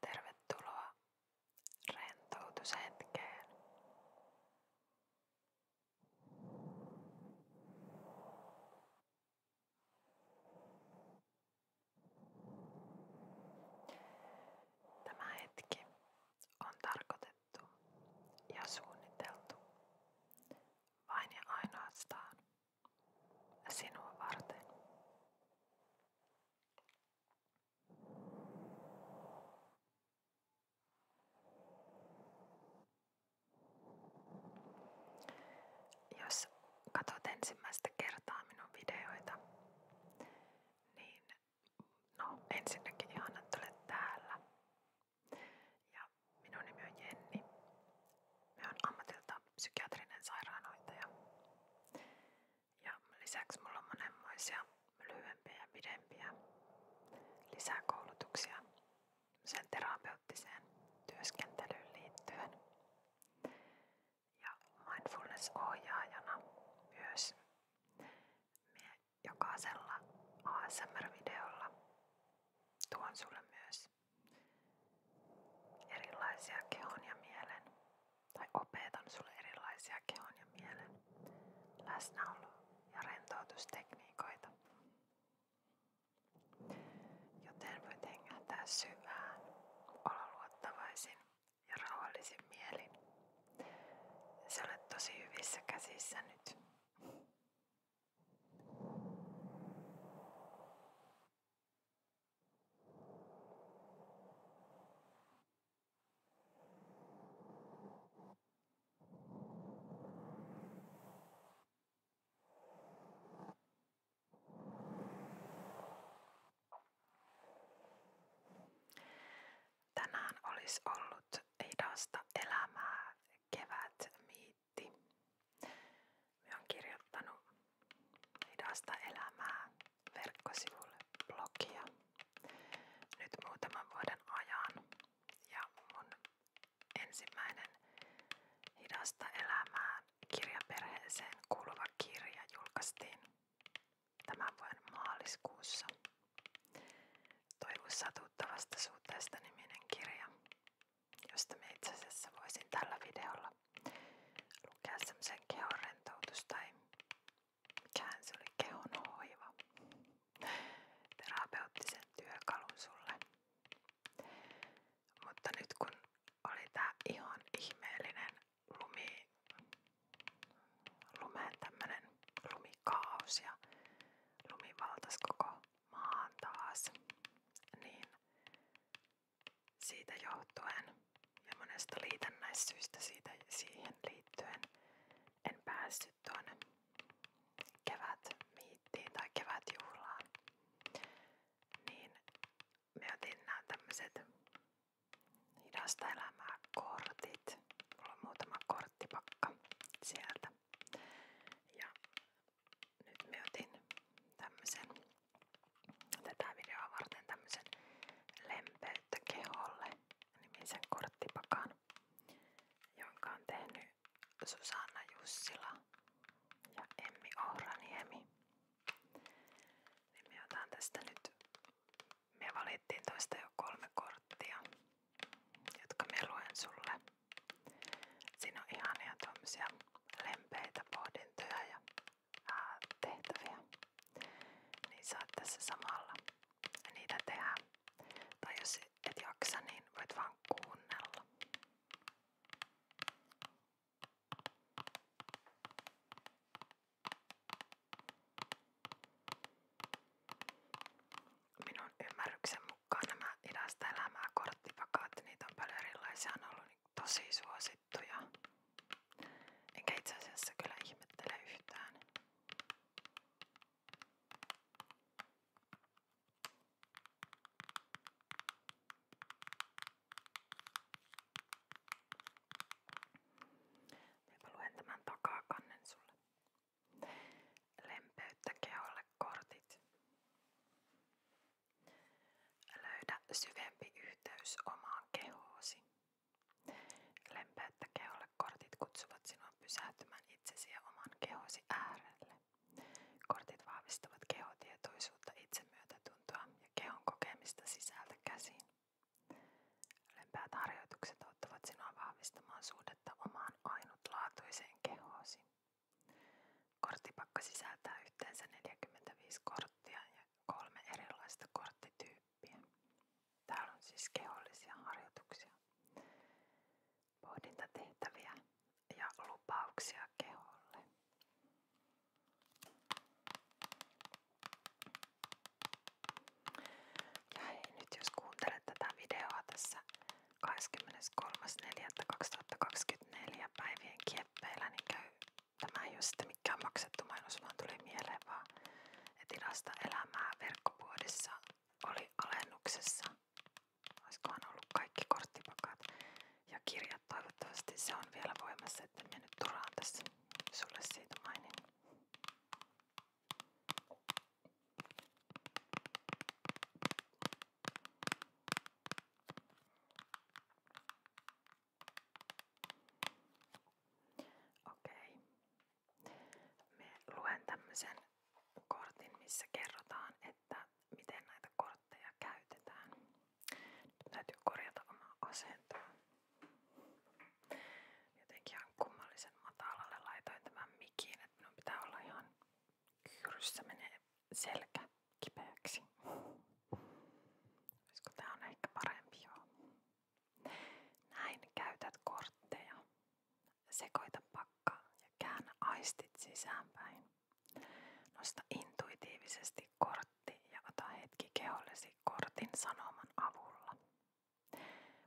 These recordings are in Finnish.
Tervetuloa rentoutushetkeen. Tämä hetki on tarkoitettu ja suunniteltu vain ja ainoastaan sinua varten. Jos katsot ensimmäistä kertaa minun videoita, niin no ensinnäkin ihana, että olet täällä. Ja minun nimi on Jenni. Me on ammatilta psykiatrinen sairaanhoitaja. Ja lisäksi mulla on monenmoisia lyhyempiä ja pidempiä lisäkoulutuksia sen terapeuttiseen työskentelyyn liittyen. Ja mindfulness-ohjaajana myös Mie jokaisella ASMR-videolla tuon sulle myös erilaisia kehon ja mielen, tai opetan sulle erilaisia kehon ja mielen läsnäolo- ja rentoutustekniikoita, Joten voit hengähtää syvään, olla luottavaisin ja rauhallisin mielin. Sä olet tosi hyvissä käsissä nyt. Tänään olisi ollut hidasta elämää kevätmiitti. Minä olen kirjoittanut hidasta elämää verkkosivulle blogia nyt muutaman vuoden ajan ja mun Ensimmäinen Hidasta elämään kirjaperheeseen kuuluva kirja julkaistiin tämän vuoden maaliskuussa. Toivu satuttavasta suhteesta niminen kirja, josta me itse asiassa voisin tällä videolla lukea semmoisen kehon rentoutus tai mikään se oli kehon hoiva terapeuttisen työkalun sulle. Mutta nyt kun oli tää ihan ihmeellinen lumi, lumen tämmönen lumikaos ja lumi valtas koko maan taas, niin siitä johtuen ja monesta liitännäissyistä siitä siihen liittyen en päässyt tuonne kevätmiittiin tai kevätjuhlaan, niin me otin nämä tämmöiset hidasta elämää kortit. Mulla on muutama korttipakka sieltä. Ja nyt me otin tämmöisen tätä videoa varten tämmöisen lempeyttä keholle nimisen korttipakan, jonka on tehnyt Susanna Jussila ja Emmi Ohraniemi. Niin me otan tästä nyt, me valittiin toista jo kolme korttia, jotka me luen sulle. Siinä on ihania tuommoisia lempeitä pohdintoja ja ää, tehtäviä. Niin saat tässä samalla niitä tehdä. Tai jos et jaksa, niin voit vaan kuunnella. Minun ymmärryksen mukaan nämä idästä elämää korttipakaat, niitä on paljon erilaisia, on ollut niin tosi suosittuja. Enkä itse asiassa kyllä ihmettele yhtään. Mä luen tämän takakannen sulle. Lempeyttä keholle kortit. Löydä syvempi yhteys omaan kehoosi. Lempeyttä keholle kortit kutsuvat sinua pysähtymään itsesi ja oman kehosi äärelle. Kortit vahvistavat kehotietoisuutta, itsemyötätuntoa ja kehon kokemista sisältä käsin. Lempäät harjoitukset auttavat sinua vahvistamaan suhdetta omaan ainutlaatuiseen kehoosi. Korttipakka sisältää yhteensä 45 korttia ja kolme erilaista korttityyppiä. Täällä on siis kehollisia harjoituksia pohdintatehtäviä ja lupauksia keholle. Ja hei, nyt jos kuuntelet tätä videoa tässä 23.4.2024 päivien kieppeillä, niin käy, tämä ei ole sitten mikään maksettu mainos, vaan tuli mieleen vaan, että ilasta elämää verkkopuodissa oli alennuksessa Olisikohan ollut kaikki korttipakat ja kirjat toivottavasti se on vielä voimassa, että minä nyt turhaan tässä sulle siitä mainin. Okei. Okay. Me luen tämmöisen kortin, missä kerrotaan, että miten näitä kortteja käytetään. Nyt täytyy korjata omaa asentoa. Jotenkin ihan kummallisen matalalle laitoin tämän mikin, että minun pitää olla ihan kyyryssä menee selkä kipeäksi. Olisiko tää on ehkä parempi joo. Näin käytät kortteja. Sekoita pakka ja käännä aistit sisäänpäin. Nosta intuitiivisesti kortti ja ota hetki kehollesi kortin sanoman avulla.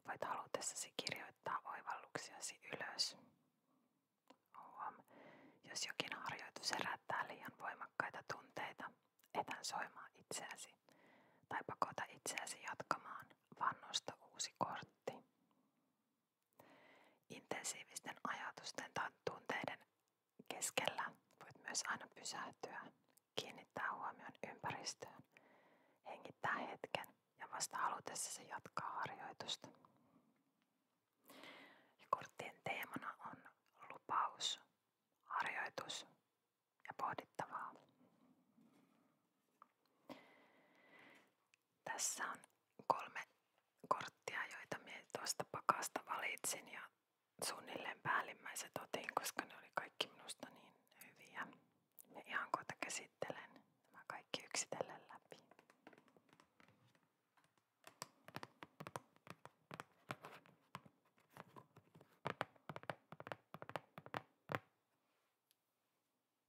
Voit halutessasi kirjoittaa oivalluksiasi ylös. Huom, jos jokin harjoitus herättää liian voimakkaita tunteita, etän soimaa itseäsi tai pakota itseäsi jatkamaan, vaan nosta uusi kortti. Intensiivisten ajatusten tai tunteiden keskellä voit myös aina pysähtyä, kiinnittää huomion ympäristöön, hengittää hetken ja vasta halutessasi jatkaa harjoitusta. Ja korttien teemana on lupaus, harjoitus ja pohdittavaa. Tässä on kolme korttia, joita minä tuosta pakasta valitsin ja suunnilleen päällimmäiset otin, koska ne oli kaikki minusta niin hyviä. Me ihan kohta käsittelen nämä kaikki yksitellen läpi.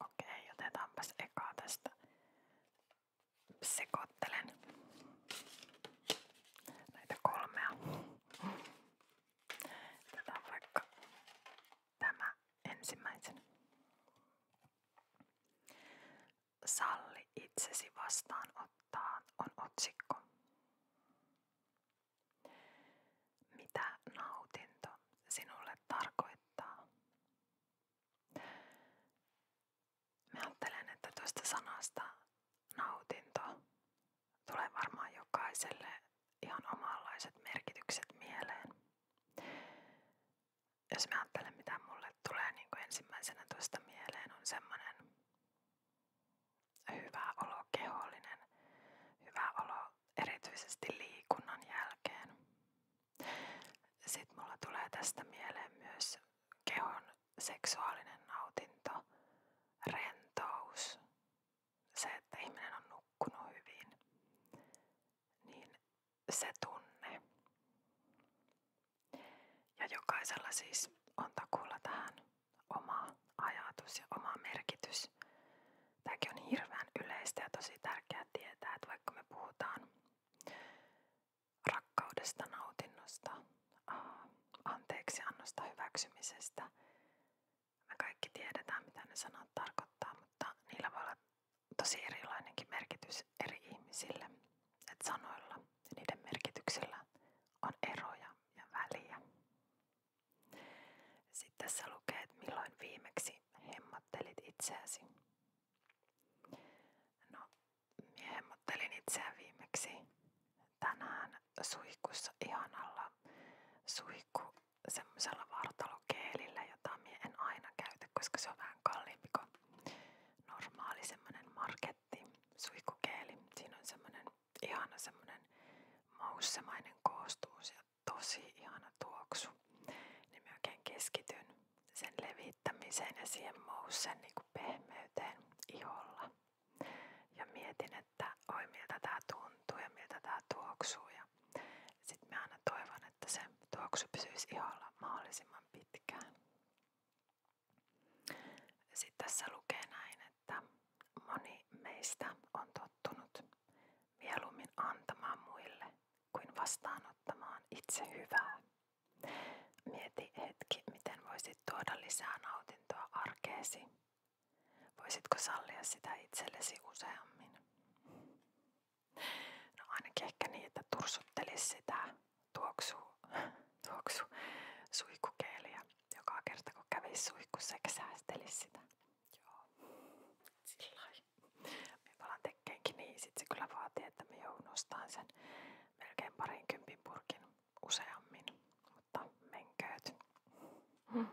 Okei, otetaanpas ekaa tästä. Sekoittelen näitä kolmea. Otetaan vaikka tämä ensimmäisen. Salli itsesi vastaanottaa on otsikko. Mitä nautinto sinulle tarkoittaa? Mä ajattelen, että tuosta sanasta nautinto tulee varmaan jokaiselle ihan omanlaiset merkitykset mieleen jos mä ajattelen mitä mulle tulee niin kuin ensimmäisenä tuosta mieleen on semmoinen hyvä olo, kehollinen hyvä olo erityisesti liikunnan jälkeen. Sitten mulla tulee tästä mieleen myös kehon seksuaalinen nautinto, rentous, että ihminen on nukkunut hyvin, niin se tunne. Ja jokaisella siis on takuulla tähän oma ajatus ja oma merkitys. Tämäkin on hirveän yleistä ja tosi tärkeää tietää, että vaikka me puhutaan rakkaudesta, nautinnosta, anteeksiannosta, hyväksymisestä, me kaikki tiedetään mitä ne sanat tarkoittaa, mutta niillä voi olla tosi erilainenkin merkitys eri ihmisille. että sanoilla niiden merkityksillä on eroja ja väliä. Sitten tässä lukee, että milloin viimeksi hemmottelit itseäsi. No, minä hemmottelin itseä viimeksi tänään suihkussa ihanalla suihku semmoisella vartalokeelillä, jota minä en aina käytä, koska se on vähän kalliimpi kuin normaali semmoinen marketti suihkukeeli. Siinä on semmoinen ihana semmoinen maussemainen koostumus ja tosi ihana tuoksu. Niin mä oikein keskityn sen levittämiseen ja siihen moussen niin kuin pehmeyteen iholla. Ja mietin, että oi miltä tää tuntuu ja miltä tää tuoksuu. Ja ja sitten mä aina toivon, että se tuoksu pysyisi iholla mahdollisimman pitkään. Sitten tässä lukee näin, että moni meistä on tottunut mieluummin antamaan muille kuin vastaanottamaan itse hyvää. Mieti hetki, miten voisit tuoda lisää nautintoa arkeesi. Voisitko sallia sitä itsellesi useammin? No ainakin ehkä niin, että tursuttelisi sitä tuoksu, tuoksu suihkukeeliä. Joka kerta kun kävisi suihkussa eikä säästelisi sitä. Joo, sillä Me palaan tekkeenkin niin, sit se kyllä vaatii, että me joudun ostamaan sen melkein parin kympin purkin useammin, mutta menkööt. Hmm.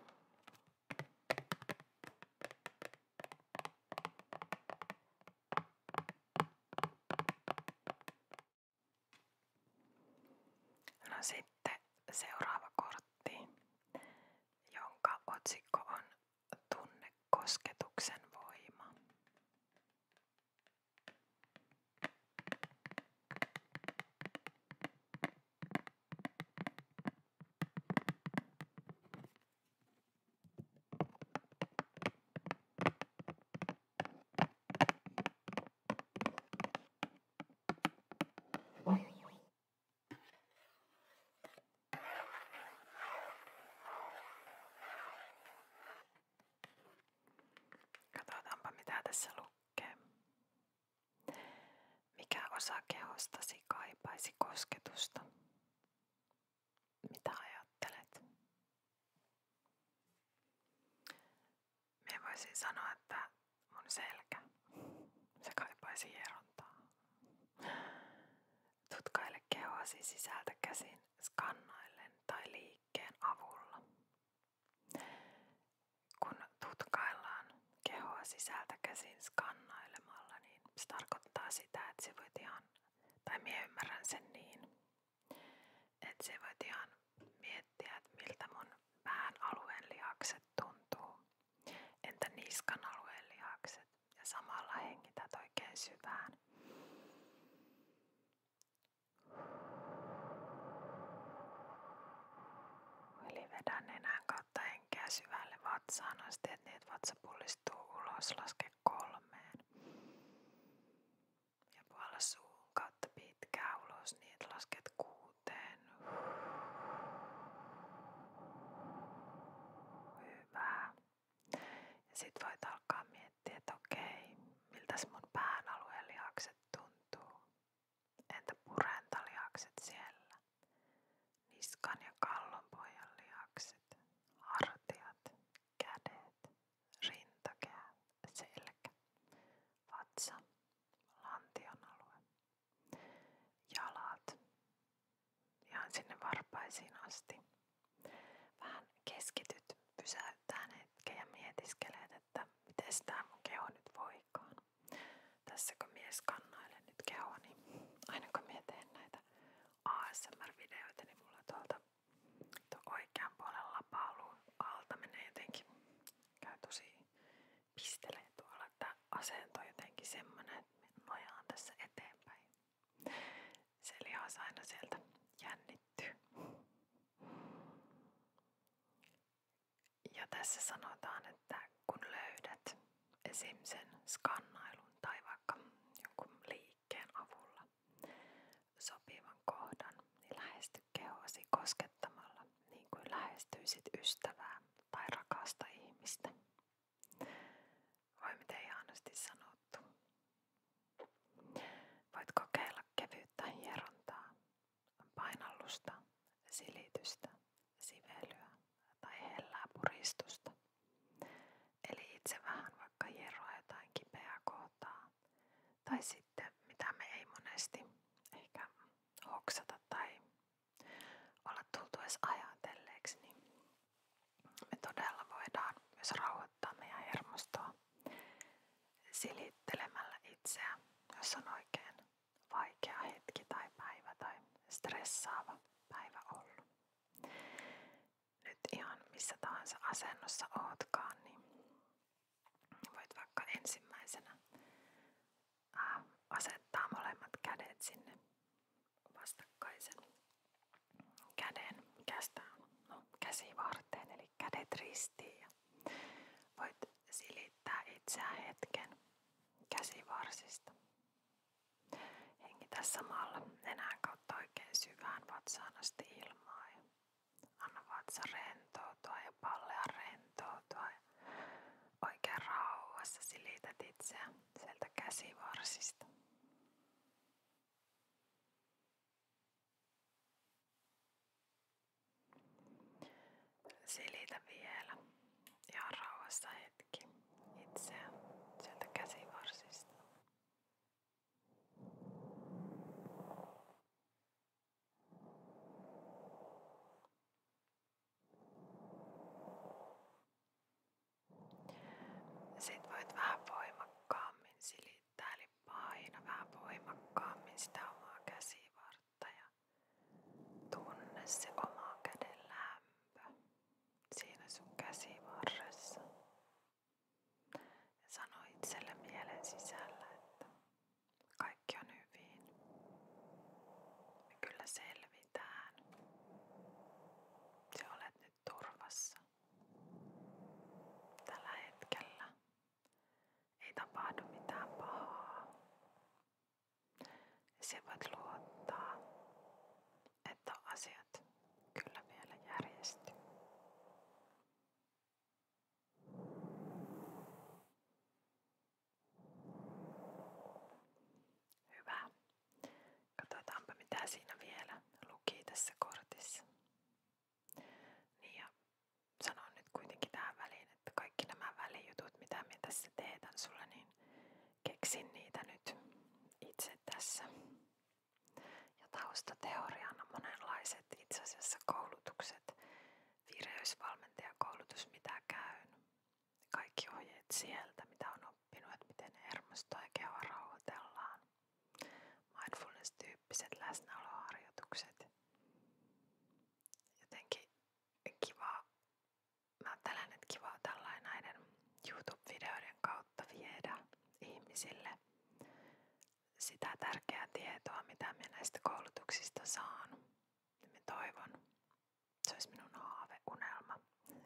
No sitten seuraava kortti, jonka otsikko on Tunne kosketuksen voima. Katsotaanpa mitä tässä lukee. Mikä osa kehostasi kaipaisi kosketusta? Mitä ajattelet? Me voisin sanoa, että on selkä, se kaipaisi hierontaa. Tutkaile kehoasi sisältä käsin skannaillen tai liikkeen avulla. Kun tutkaillaan kehoa sisältä käsin skannailemalla, niin niin se tarkoittaa sitä, että se voit ihan, tai minä ymmärrän sen niin, että se voit ihan miettiä, että miltä mun pään alueen lihakset tuntuu, entä niskan alueen lihakset ja samalla hengität oikein syvään. Eli vedän nenän kautta henkeä syvälle vatsaan asti, että niitä vatsa pullistuu ulos, laske kolmeen. Ja puolella suun kautta pitkään ulos, niin lasket kuuteen. Hyvä. Ja sit voit alkaa miettiä, että okei, miltäs mun pään alueen lihakset tuntuu. Entä purentalihakset siellä? Niskan ja kallonpojan lihakset, hartiat, kädet, rintakää, selkä, vatsa, lantion alue, jalat, ihan sinne varpaisiin asti. Vähän keskityt, pysäyttää hetken ja mietiskelet, että miten tämä mun keho nyt voikaan tässä kun mies kannailee nyt kehoa, niin näitä ASMR-videoita, niin tuo oikean puolen alta menee jotenkin, käy tosi pistelee tuolla, että asento tässä eteenpäin. Se lihas aina sieltä Ja tässä sanotaan, että kun löydät esim. sen skannailun tai vaikka jonkun liikkeen avulla sopivan kohdan, niin lähesty kehoasi koskettamalla niin kuin lähestyisit ystävää tai rakasta ihmistä. Voi miten ihanasti sanottu. Voit kokeilla kevyyttä hierontaa, painallusta, silitystä, sivelyä tai hellää puristusta. Eli itse vähän vaikka hieroa jotain kipeää kohtaa. Tai sitten mitä me ei monesti ehkä hoksata tai olla tultu edes ajatelleeksi, niin me todella voidaan myös rauhoittaa meidän hermostoa silittelemällä itseä, jos on oikein vaikea hetki tai päivä tai stressaava päivä ollut. Nyt ihan missä tahansa asennossa ootkaan, niin voit vaikka ensimmäisenä asettaa molemmat kädet sinne vastakkaisen käden kästään, no käsi varteen, eli kädet ristiin ja voit silittää itseä hetken käsivarsista Hengitä samalla nenän kautta syvään vatsaan ilmaa. anna vatsa rentoutua ja pallea rentoutua. Ja oikein rauhassa silität käsivarsista. Silitä vielä ja rauhassa hetki hetki itseä sieltä käsivarsista. Sitten voit vähän voimakkaammin silittää, eli paina vähän voimakkaammin sitä omaa käsivartta ja tunne se oma käden lämpö siinä sun käsivarressa. Ja sano itselle mielen sisällä, että kaikki on hyvin. Me kyllä selvitään. Se olet nyt turvassa. Tällä hetkellä ei tapahdu mitään pahaa. Se voit luottaa, että asiat kyllä vielä järjestyy. Hyvä. Katsotaanpa mitä siinä vielä luki tässä kortissa. Niin ja sanon nyt kuitenkin tähän väliin, että kaikki nämä välijutut mitä minä tässä teetän sulle, niin keksin niitä nyt itse tässä. Ja taustateoriana monenlaiset itse asiassa koulutukset, vireysvalmentajakoulutus mitä käyn, kaikki ohjeet sieltä mitä on oppinut, miten hermostoa ja kehoa rauhoitellaan, mindfulness-tyyppiset läsnäoloharjoitukset. Jotenkin kiva mä ajattelen, että kivaa näiden YouTube-videoiden kautta viedä ihmisille sitä tärkeää tietoa, mitä minä koulutuksista saan. Ja toivon, se olisi minun haaveunelma,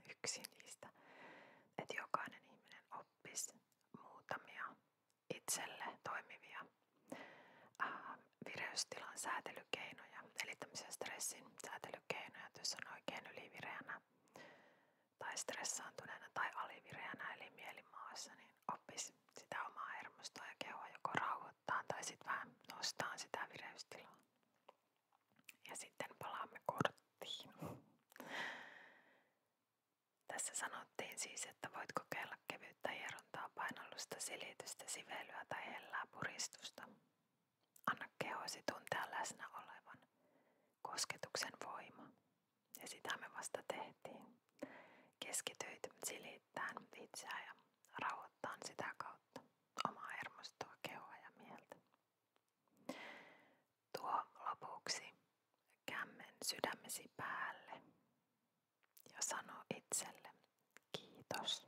yksi niistä, että jokainen ihminen oppisi muutamia itselle toimivia äh, vireystilan säätelykeinoja eli tämmöisiä stressin säätelykeinoja, että jos on oikein ylivireänä tai stressaantuneena tai alivireänä eli mielimaassa, niin oppisi sitä omaa hermostoa ja kehoa joko rauhoittaa tai sitten vähän nostaa sitä vireystilaa. Ja sitten palaamme korttiin. Tässä sanottiin siis, että voit kokeilla kevyyttä hierontaa, painallusta, silitystä, sivelyä tai hellää puristusta. Anna kehosi tuntea läsnä olevan kosketuksen voima. Ja sitä me vasta tehtiin. Keskityit silittämään itseä ja rauhoittaan sitä kautta omaa hermostoa, kehoa ja mieltä. Tuo lopuksi kämmen sydämesi päälle ja sano itselle kiitos.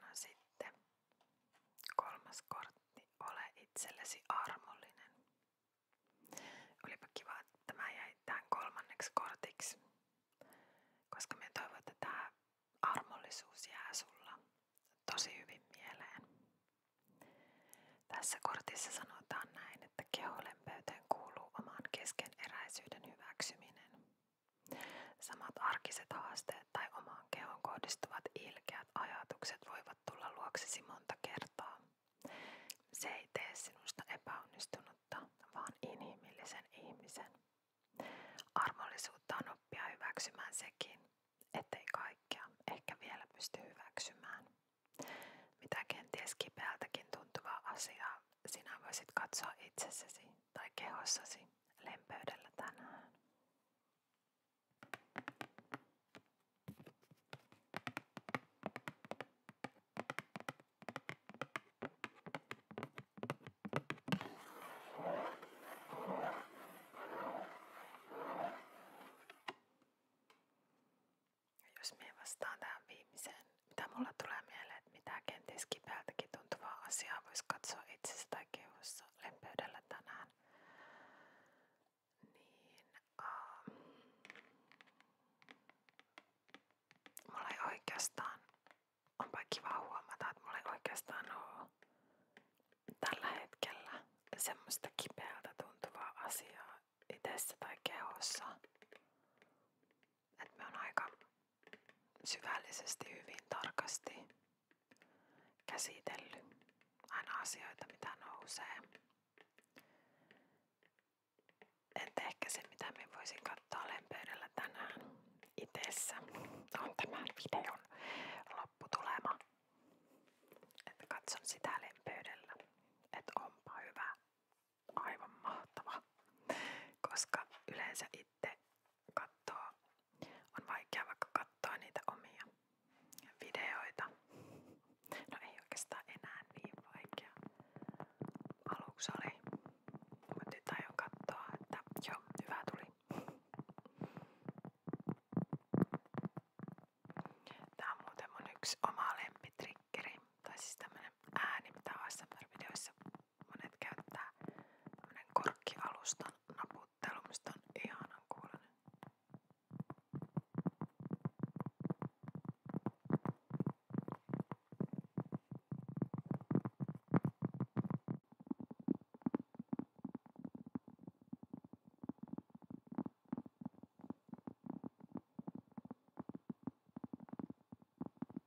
No sitten kolmas kortti, ole itsellesi armollinen. Olipa kiva, että tämä jäi tähän kolmanneksi koska me toivon, että armollisuus jää sulla tosi hyvin mieleen. Tässä kortissa sanotaan näin, että keholen pöytään kuuluu oman keskeneräisyyden hyväksyminen. Samat arkiset haasteet tai omaan kehoon kohdistuvat ilkeät ajatukset voivat tulla luoksesi monta kertaa. Se ei tee sinusta epäonnistunutta, vaan inhimillisen ihmisen. Armollisuutta on oppia hyväksymään sekin, ettei kaikkea ehkä vielä pysty hyväksymään. Mitä kenties kipeältäkin tuntuvaa asiaa sinä voisit katsoa itsessäsi tai kehossasi lempeydellä tänään. Jos me vastaan tähän viimeiseen mitä mulla tulee mieleen, että mitä kenties kipeältäkin tuntuvaa asiaa voisi katsoa itsessä tai kehossa lempeydellä tänään. Niin, ähm, mulla ei oikeastaan, onpa kiva huomata, että mulla ei oikeastaan ole tällä hetkellä semmoista kipeältä tuntuvaa asiaa itsessä tai kehossa että me on aika syvällisesti hyvin tarkasti käsitellyt aina asioita, mitä nousee. Että ehkä se, mitä me voisin katsoa lempeydellä tänään itessä, on tämän videon lopputulema. Että katson sitä lempeydellä, että onpa hyvä, aivan mahtava. Koska yleensä itse sitten on vaikea vaikka katsoa niitä omia videoita. No ei oikeastaan enää niin vaikea. Aluksi mutta nyt aion että joo, hyvä tuli. on muuten yksi oma lempitrikkeri, tai siis tämmönen ääni, mitä ASMR-videoissa Monet käyttää tämmönen korkkialustan naputtelu, mistä on ihanan kuulonen.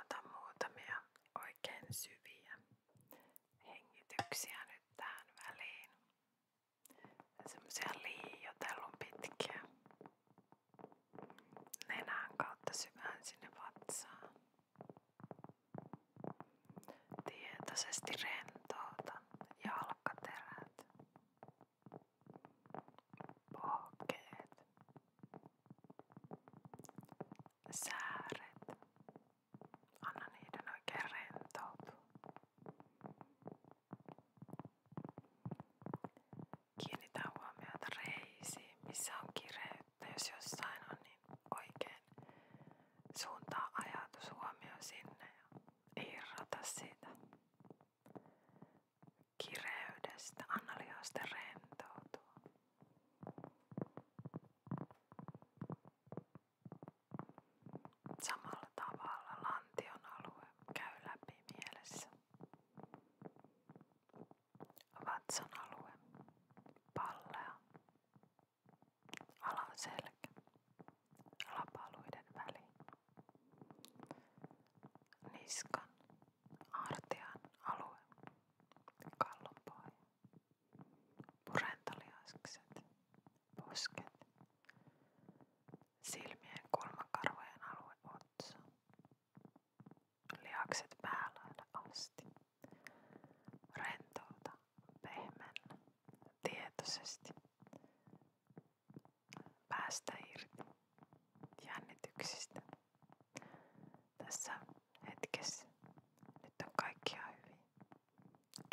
Ota muutamia oikein syviä hengityksiä nyt tähän väliin semmoisia liioitellun pitkiä nenän kautta syvään sinne vatsaan. Tietoisesti rentouta jalkaterät, pohkeet, sääret Anna niiden oikein rentoutua. Kiinnitä huomiota reisiin, missä on kireyttä. Jos jossain on, niin oikein suuntaa ajatus huomio sinne ja irrota siitä kireydestä. Anna lihosten rentoutua. Samalla tavalla lantion alue käy läpi mielessä. Vatsan alue, pallea, alan selkä, lapaluiden väli, niskan, artian alue, kallonpohja, purentoliaskset, posket, silmien kulmakarvojen alue otsa, lihakset päälailla asti. Rentouta, pehmennä, tietoisesti. Päästä irti jännityksistä. Tässä hetkessä nyt on kaikkia hyvin.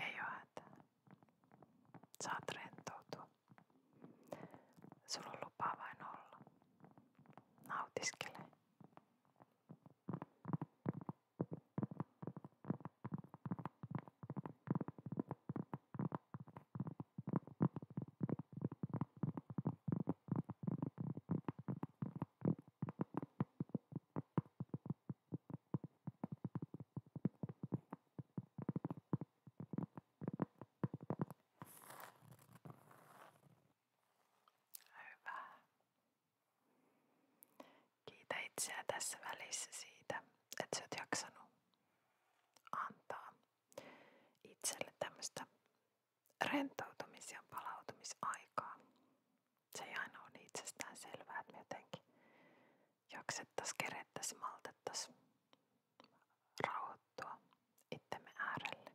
Ei oo hätää. Saat rentoutua. Sulla on lupa vain olla. Nautiskele. Hyvä. Kiitä itseä tässä välissä siitä, että sä oot jaksanut antaa itselle tämmöistä rentoutumis- ja palautumisaikaa. Se ei aina ole niin itsestään selvää, että me jotenkin jaksettas, kerettas, maltettas rauhoittua itsemme äärelle.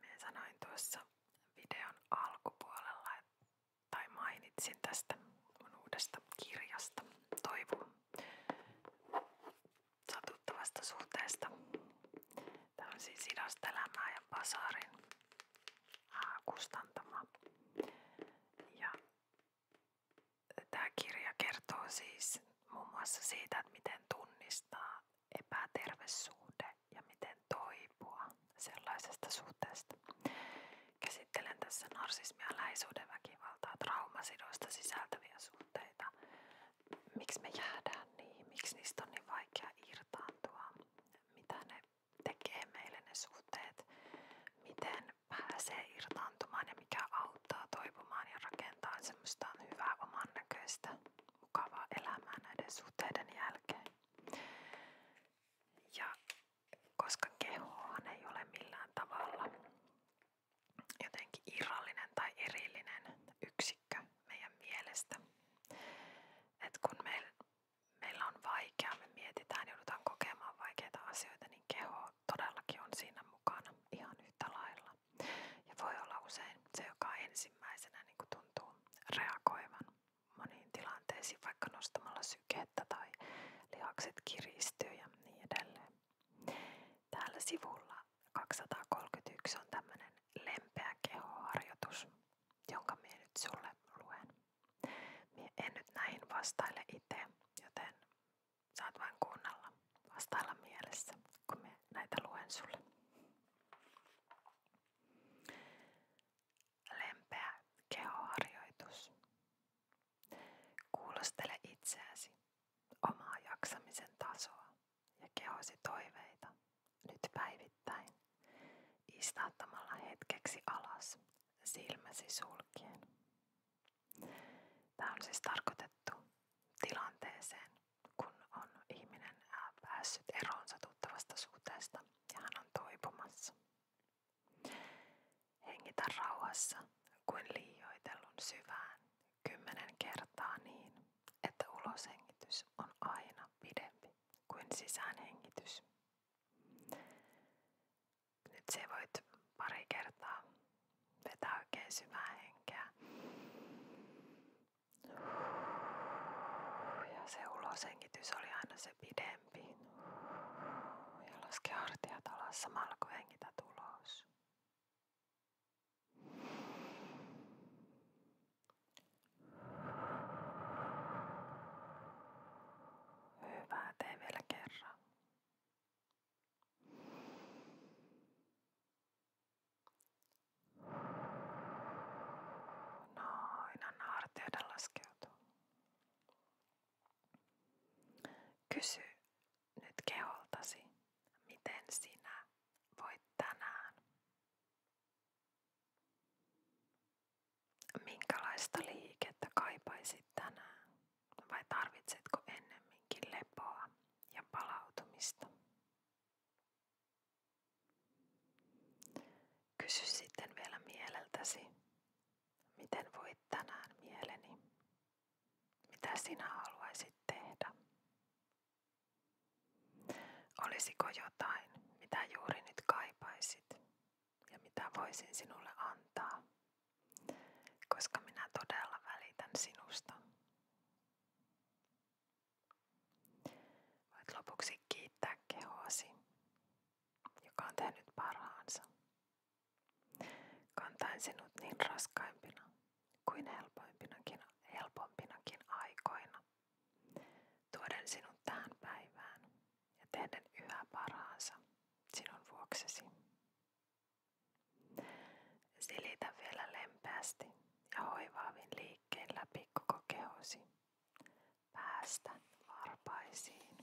Minä sanoin tuossa videon alkupuolella, tai mainitsin tästä mun uudesta kirjasta Toivon satuttavasta suhteesta. Tämä on siis Idasta elämää ja Pasarin kustantama. Ja tämä kirja kertoo siis muun mm. muassa siitä, että miten tunnistaa epäterve epätervesuhde ja miten toipua sellaisesta suhteesta. Käsittelen tässä narsismia, läheisyyden väkivaltaa, traumasidoista sisältäviä suhteita. Miksi me jäädään niihin? Miksi niistä on niin vaikea irtaantua? Mitä ne tekee meille ne suhteet? Miten pääsee irtaantumaan ja mikä auttaa toipumaan ja rakentaa semmoista hyvää oman näköistä, mukavaa elämää näiden suhteiden jälkeen. Ja koska kehohan ei ole millään tavalla jotenkin irrallinen tai erillinen yksikkö meidän mielestä. Et kun me, meillä on vaikea, me mietitään, joudutaan kokemaan vaikeita asioita, niin keho todellakin on siinä mukana ihan yhtä lailla. Ja voi olla usein se, joka ensimmäisenä niin tuntuu reagoivan moniin tilanteisiin, vaikka nostamalla sykettä tai lihakset kiristyy ja niin edelleen. Täällä sivulla 231 on tämmöinen lempeä kehoharjoitus, jonka minä nyt sulle luen. Mie en nyt näihin vastaile itse, joten saat vain kuunnella, vastailla mielessä, kun minä näitä luen sulle lempeä kehoharjoitus. Kuulostele itseäsi, omaa jaksamisen tasoa ja kehosi toiveita nyt päivittäin istaattamalla hetkeksi alas silmäsi sulkien. Tämä on siis tarkoitettu tilanteeseen, kun on ihminen päässyt eroonsa tuttavasta suhteesta ja hän on toipumassa. Hengitä rauhassa kuin liioitellun syvään kymmenen kertaa niin, että uloshengitys on aina pidempi kuin sisäänhengitys. Nyt se voit pari kertaa vetää oikein syvää henkeä ja se uloshengitys oli aina se pidempi. Ja laske hartiat alas samalla kun hengität ulos. Hyvä, tee vielä kerran. Noin, anna hartioiden laskeutua. Kysy nyt keholtasi, miten sinä voit tänään. Minkälaista liikettä kaipaisit tänään? Vai tarvitsetko ennemminkin lepoa ja palautumista? Kysy sitten vielä mieleltäsi, miten voit tänään mieleni, mitä sinä haluaisit tehdä. Olisiko jotain, mitä juuri nyt kaipaisit ja mitä voisin sinulle antaa, koska minä todella välitän sinusta. Voit lopuksi kiittää kehoasi, joka on tehnyt parhaansa. Kantain sinut niin raskaimpina kuin helpompinakin, helpompinakin aikoina. Tuoden sinut tähän päivään ja tehden yhä parhaansa sinun vuoksesi. Silitä vielä lempeästi ja hoivaavin liikkeen läpi koko kehosi päästä varpaisiin.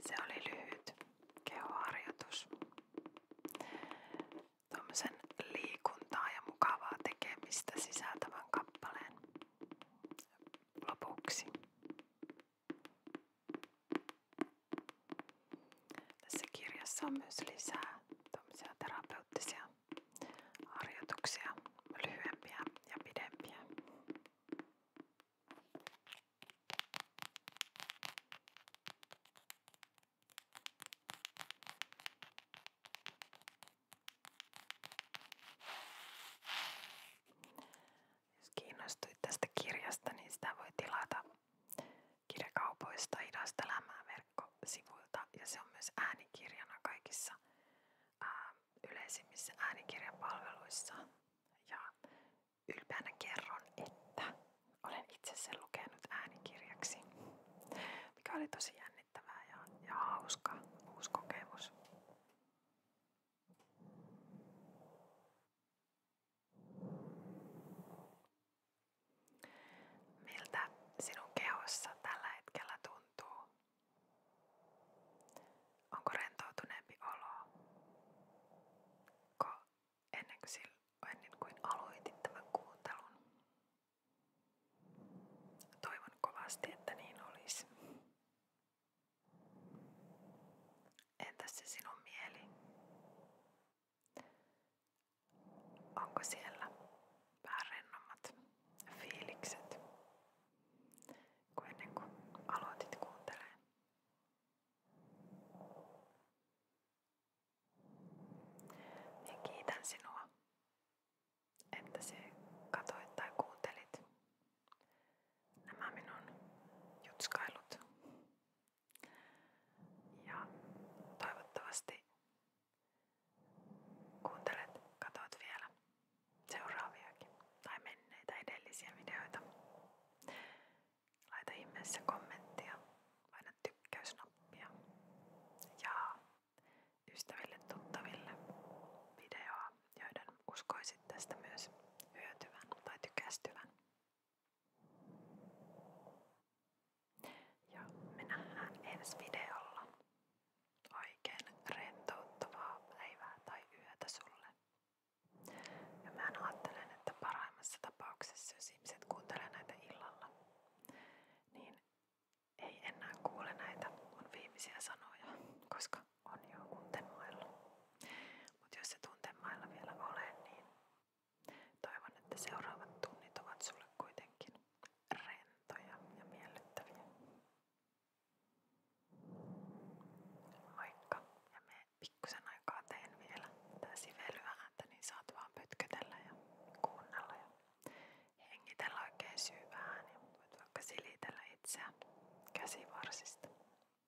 Se oli lyhyt kehoharjoitus. Tuommoisen liikuntaa ja mukavaa tekemistä sisältävän kappaleen lopuksi. Tässä kirjassa on myös lisää terapeuttisia harjoituksia, lyhyempiä ja pidempiä. Jos kiinnostuit tästä kirjasta, niin sitä voi tilata kirjakaupoista Idasta elämää verkkosivuilta ja se on myös äänikirjana kaikissa ää, yleisimmissä palveluissa Ja ylpeänä kerron, että olen itse sen lukenut äänikirjaksi, mikä oli tosi jännittävää ja, ja hauska Miltä sinun kehossa tällä hetkellä tuntuu? Onko rentoutuneempi olo? Ko ennen kuin, sillä, ennen kuin aloitit tämän kuuntelun? Toivon kovasti, että niin olisi. Entäs se sinun mieli? Onko siellä vähän rennommat fiilikset kuin ennen kuin aloitit kuuntelemaan? Minä kiitän sinua, että se katoit tai kuuntelit nämä minun jutskailut. Ja toivottavasti kuuntelet, katot vielä seuraaviakin tai menneitä edellisiä videoita. Laita ihmeessä kommenttia, paina tykkäysnappia ja ystäville tuttaville videoa joiden uskoisit tästä myös hyötyvän tai tykästyvän. Ja me nähdään ensi videolla. Oikein rentouttavaa tai yötä sulle. Ja mä ajattelen, että parhaimmassa tapauksessa, jos ihmiset niin ei enää kuule näitä mun viimeisiä sanoja, koska on jo untemailla. Mutta jos et untemailla vielä ole, niin toivon, että seuraavat tunnit ovat sulle kuitenkin rentoja ja miellyttäviä. Moikka! Ja me pikkusen aikaa teen vielä tää sivelyääntä, niin saat vaan pötkötellä ja kuunnella ja hengitellä oikein syvään ja voit vaikka silitellä itseään käsivarsista.